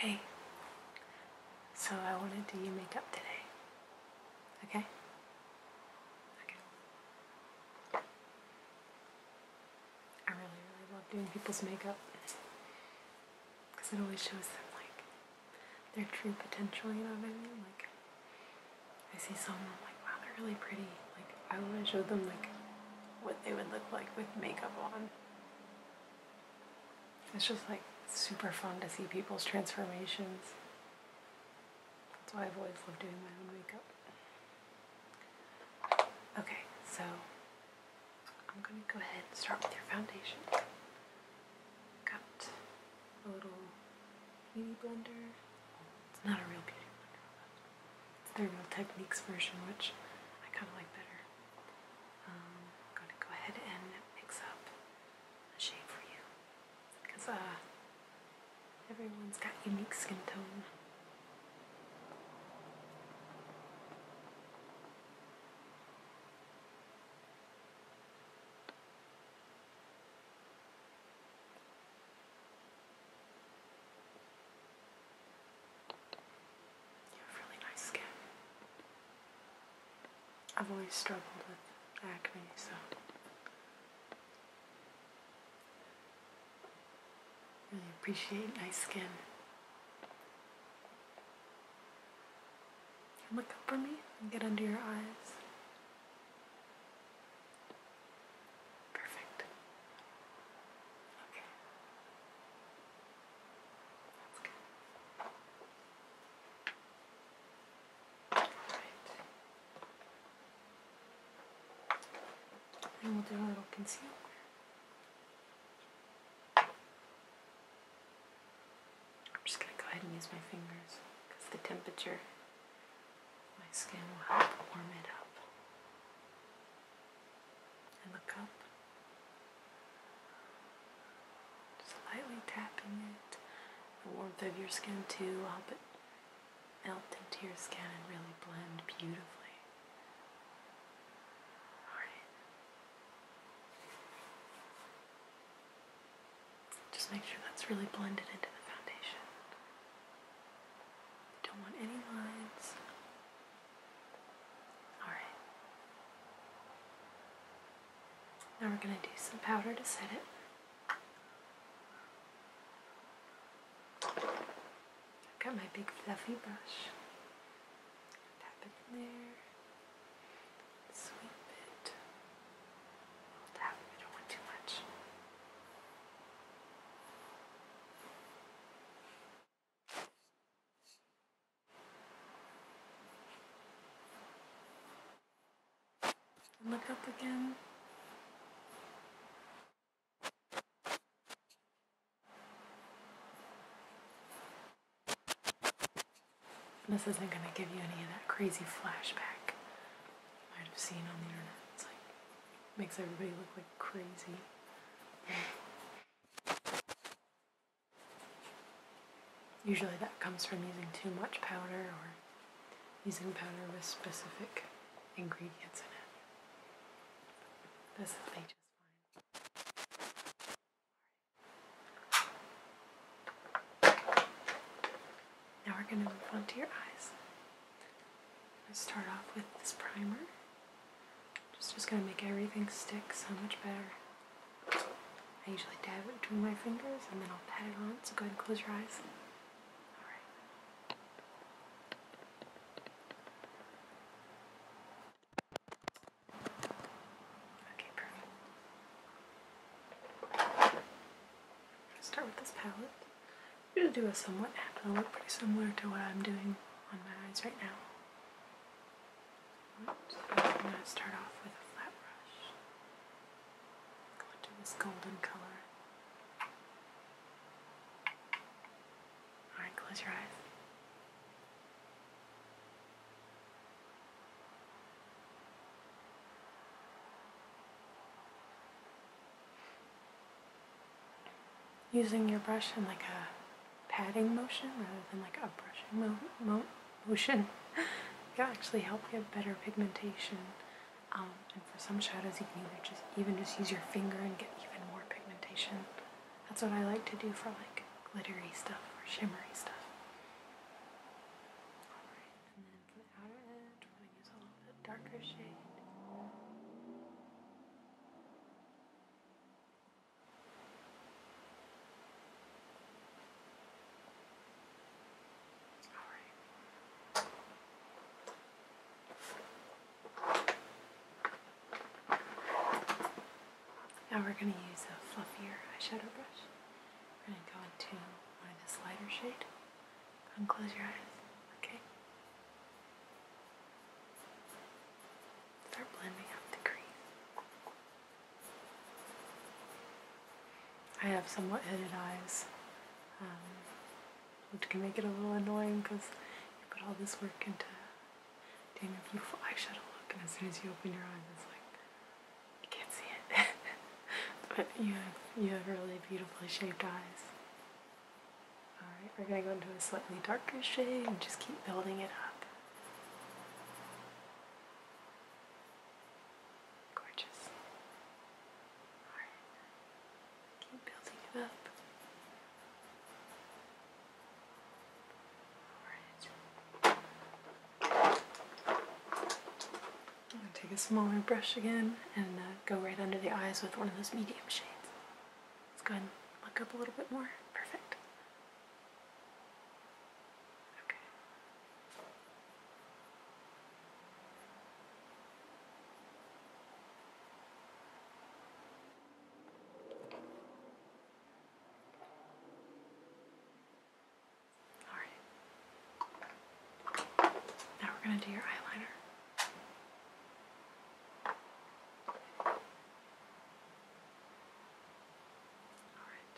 Hey, so I want to do your makeup today. Okay? I really, really love doing people's makeup because it always shows them like their true potential, you know what I mean? Like, I see someone, i like, wow, they're really pretty. Like, I want to show them like what they would look like with makeup on. It's just like super fun to see people's transformations. That's why I've always loved doing my own makeup. Okay, so I'm gonna go ahead and start with your foundation. Got a little beauty blender. It's not a real beauty blender. It's their Real Techniques version, which I kind of like better. Um, I'm going to go ahead and mix up a shade for you because uh, everyone's got unique skin tone. You have really nice skin. I've always struggled with acne, so really appreciate nice skin. Look up for me and get under your eyes. Perfect. Okay. That's good. Alright. And we'll do a little I'm just going to go ahead and use my fingers because the temperature my skin will help warm it up and look up, slightly tapping it, the warmth of your skin too, I'll but melt into your skin and really blend beautifully. Alright. Just make sure that's really blended into the foundation. don't want any lines. Alright. Now we're going to do some powder to set it. I've got my big fluffy brush. Tap it in there. Sweep it. tap it, don't want too much. Look up again. This isn't going to give you any of that crazy flashback I might have seen on the internet. It's like, makes everybody look like crazy. Usually that comes from using too much powder or using powder with specific ingredients in it. This will be just fine. Now we're going to move on to your eyes. i start off with this primer. It's just gonna make everything stick so much better. I usually dab it between my fingers and then I'll pat it on, so go ahead and close your eyes. Alright. Okay, perfect. Start with this palette. I'm gonna do a somewhat hat that look pretty similar to what I'm doing on my eyes right now. I'm going to start off with a flat brush. Go into this golden color. Alright, close your eyes using your brush in like a patting motion rather than like a brushing mo mo motion can actually help get better pigmentation. Um, and for some shadows, you can either just even just use your finger and get even more pigmentation. That's what I like to do for like glittery stuff or shimmery stuff. Alright, and then for the outer edge, we're going a little bit darker shade. Now we're going to use a fluffier eyeshadow brush. We're going to go into one of this lighter shade. and close your eyes, okay? Start blending out the cream. I have somewhat hooded eyes, um, which can make it a little annoying because you put all this work into doing a beautiful eye eyeshadow look, and as soon as you open your eyes, it's like you can't see it. but you have you have really beautifully shaped eyes. Alright, we're going to go into a slightly darker shade and just keep building it up. Gorgeous. Alright, keep building it up. Alright. take a smaller brush again and uh, go right under the eyes with one of those medium shades. Let's go and look up a little bit more. Perfect. Okay. All right. Now we're going to do your eyeliner. Alright.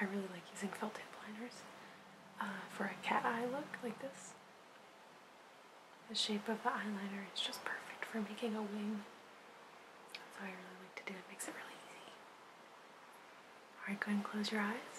I really like using felt tip liners uh, for a cat eye look like this. The shape of the eyeliner is just perfect for making a wing. That's how I really like to do it. Makes it really easy. Alright, go ahead and close your eyes.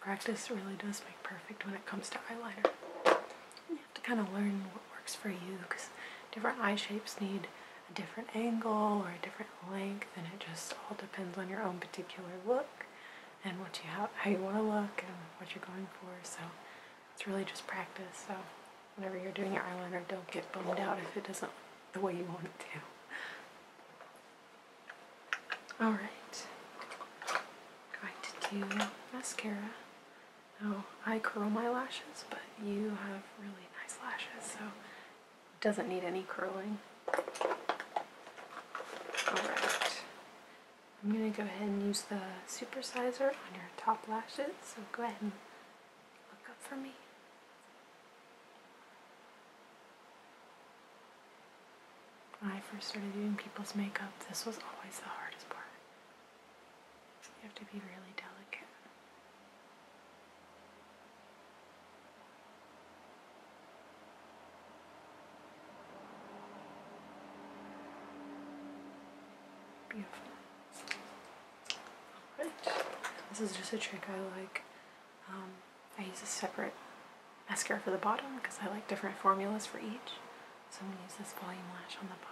Practice really does make perfect when it comes to eyeliner. You have to kind of learn what works for you because different eye shapes need a different angle or a different length, and it just all depends on your own particular look and what you how, how you want to look and what you're going for. So it's really just practice. So whenever you're doing your eyeliner, don't get bummed out if it doesn't the way you want it to. All right going to do mascara. Now, I curl my lashes, but you have really nice lashes, so it doesn't need any curling. Alright, I'm going to go ahead and use the supersizer on your top lashes, so go ahead and look up for me. When I first started doing people's makeup, this was always the hardest part. You have to be really delicate. Beautiful. Alright. This is just a trick I like. Um, I use a separate mascara for the bottom because I like different formulas for each. So I'm going to use this volume lash on the bottom.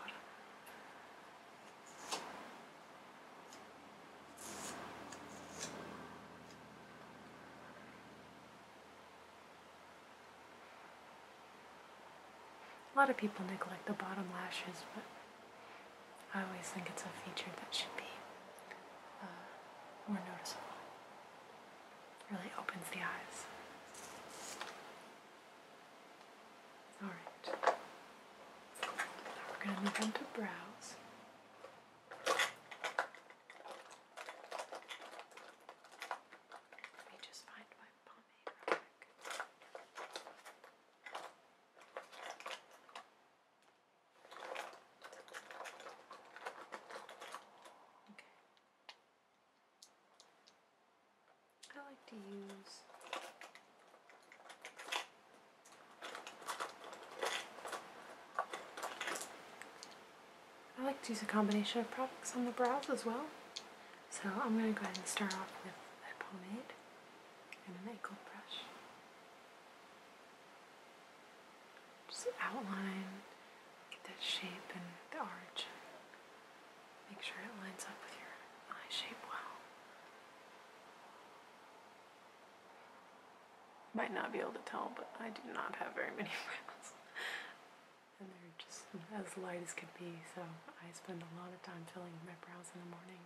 A lot of people neglect the bottom lashes, but I always think it's a feature that should be uh, more noticeable. Really opens the eyes. Alright. Now we're going to move on to brows. Let me just find my pomade Okay. I like to use I like to use a combination of products on the brows as well. So I'm going to go ahead and start off with a pomade and an ankle brush. Just outline, get that shape and the arch. Make sure it lines up with your eye shape well. Might not be able to tell, but I do not have very many brows. and they're just as light as could be, so I spend a lot of time filling my brows in the morning.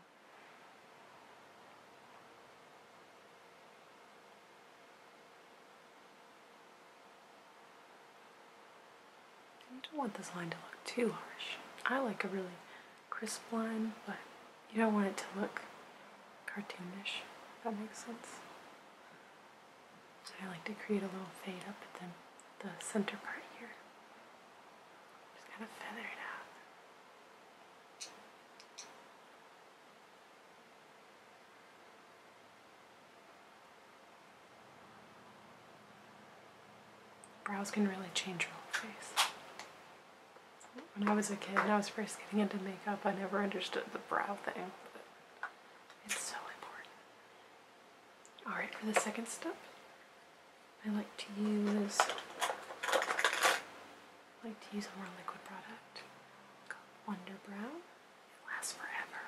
You don't want this line to look too harsh. I like a really crisp line, but you don't want it to look cartoonish, if that makes sense. So I like to create a little fade up at the, the center part here. Just kind of feather it out. Brows can really change your whole face. When I was a kid and I was first getting into makeup, I never understood the brow thing. it's so important. Alright, for the second step, I like to use like to use a more liquid product called Wonder Brow lasts forever.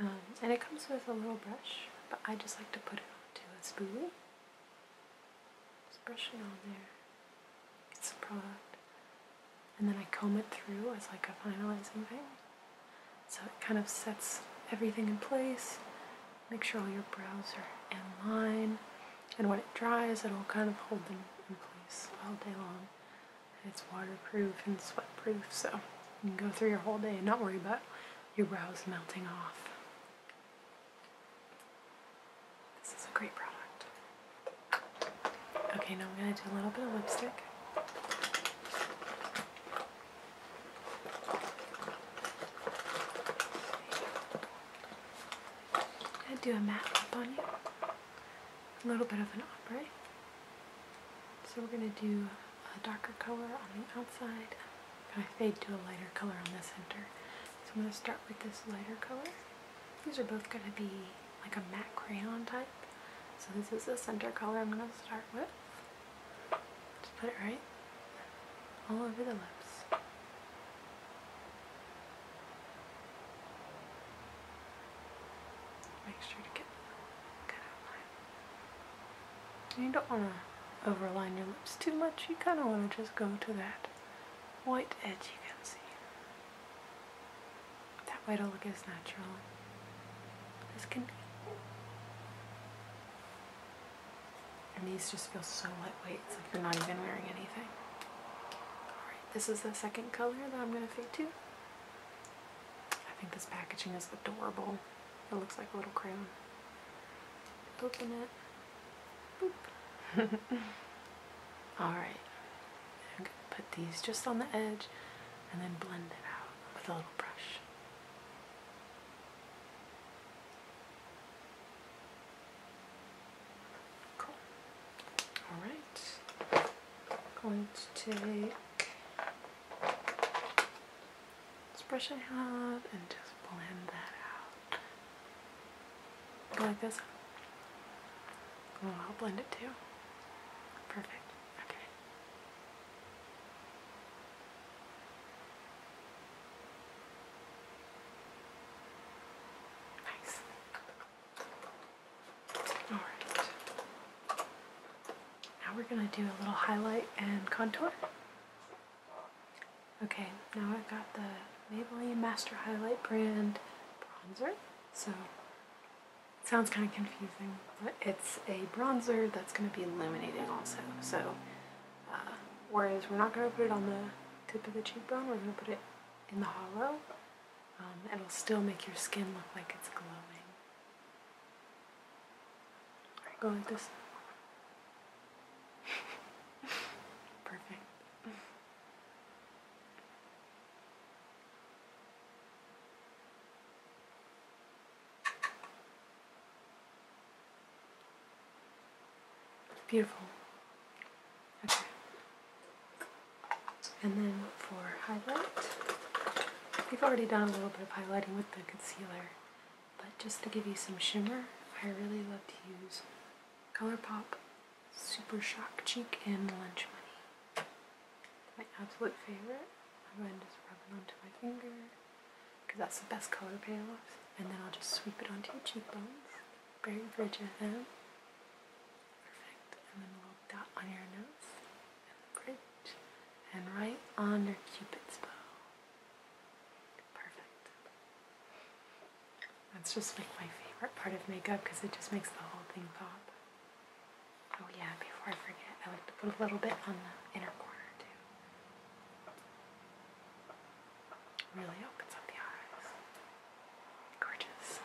Um, and it comes with a little brush, but I just like to put it onto a spoolie. Just brush it on there. It's the product. And then I comb it through as like a finalizing thing. So it kind of sets everything in place. Make sure all your brows are in line. And when it dries, it'll kind of hold them in place all day long. It's waterproof and sweatproof, so you can go through your whole day and not worry about your brows melting off. This is a great product. Okay, now I'm going to do a little bit of lipstick. going to do a matte lip on you a little bit of an ombre. So we're going to do a darker color on the outside. I'm fade to a lighter color on the center. So I'm going to start with this lighter color. These are both going to be like a matte crayon type. So this is the center color I'm going to start with. Just put it right all over the lips. Make sure to get a good outline. You don't want to overline your lips too much. You kind of want to just go to that white edge you can see. That way it'll look as natural as can be. And these just feel so lightweight. It's like you're not even wearing anything. Alright, this is the second color that I'm going to fade to. I think this packaging is adorable. It looks like a little crown. Open it. Alright. I'm going to put these just on the edge and then blend it out with a little brush. Cool. Alright going to take this brush I have and just blend that out. like this. Oh, I'll blend it too. Perfect. Okay. Nice. All right. Now we're going to do a little highlight and contour. Okay, now I've got the Maybelline Master Highlight brand bronzer. So sounds kind of confusing, but it's a bronzer that's going to be illuminating also. So uh, whereas we're not going to put it on the tip of the cheekbone, we're going to put it in the hollow um, it'll still make your skin look like it's glowing. go like this. Perfect. Beautiful. Okay. And then for highlight, we've already done a little bit of highlighting with the concealer, but just to give you some shimmer, I really love to use ColourPop Super Shock Cheek in Lunch Money. my absolute favorite. I'm going to just rub it onto my finger because that's the best color payoff, and then I'll just sweep it onto your cheekbones, bring the bridge of them. Perfect, and then we'll dot on your nose and bridge and right under Cupid's bow. Perfect. That's just like my favorite part of makeup because it just makes the whole thing pop. Oh yeah, before I forget, I like to put a little bit on the inner corner too. Really opens up the eyes. Gorgeous.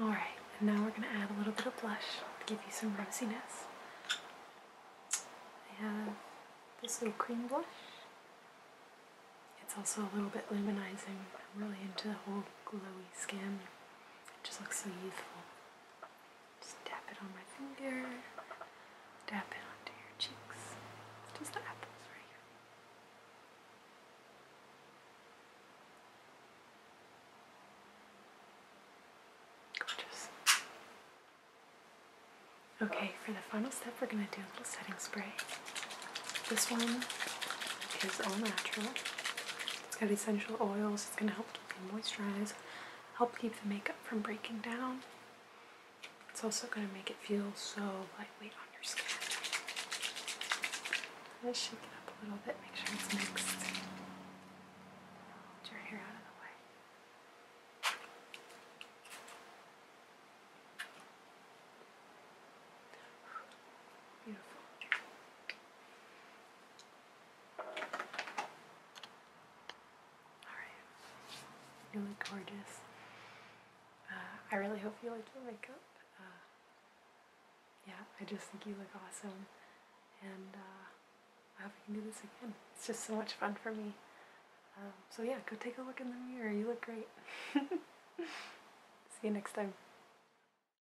All right, and now we're going to add a little bit of blush to give you some rosiness. I have this little cream blush. It's also a little bit luminizing. I'm really into the whole glowy skin it just looks so youthful. Just dab it on my finger, dab it onto your cheeks. Just the apples right here. Gorgeous. Okay, for the final step, we're going to do a little setting spray. This one is all natural. It's got essential oils. It's going to help keep you moisturized, help keep the makeup from breaking down. It's also going to make it feel so lightweight on your skin. let shake it up a little bit, make sure it's mixed. Hold your hair out of the way. Beautiful. Alright. You look gorgeous. Uh, I really hope you like your makeup. Uh, yeah, I just think you look awesome. And uh, I hope we can do this again. It's just so much fun for me. Um, so yeah, go take a look in the mirror. You look great. See you next time.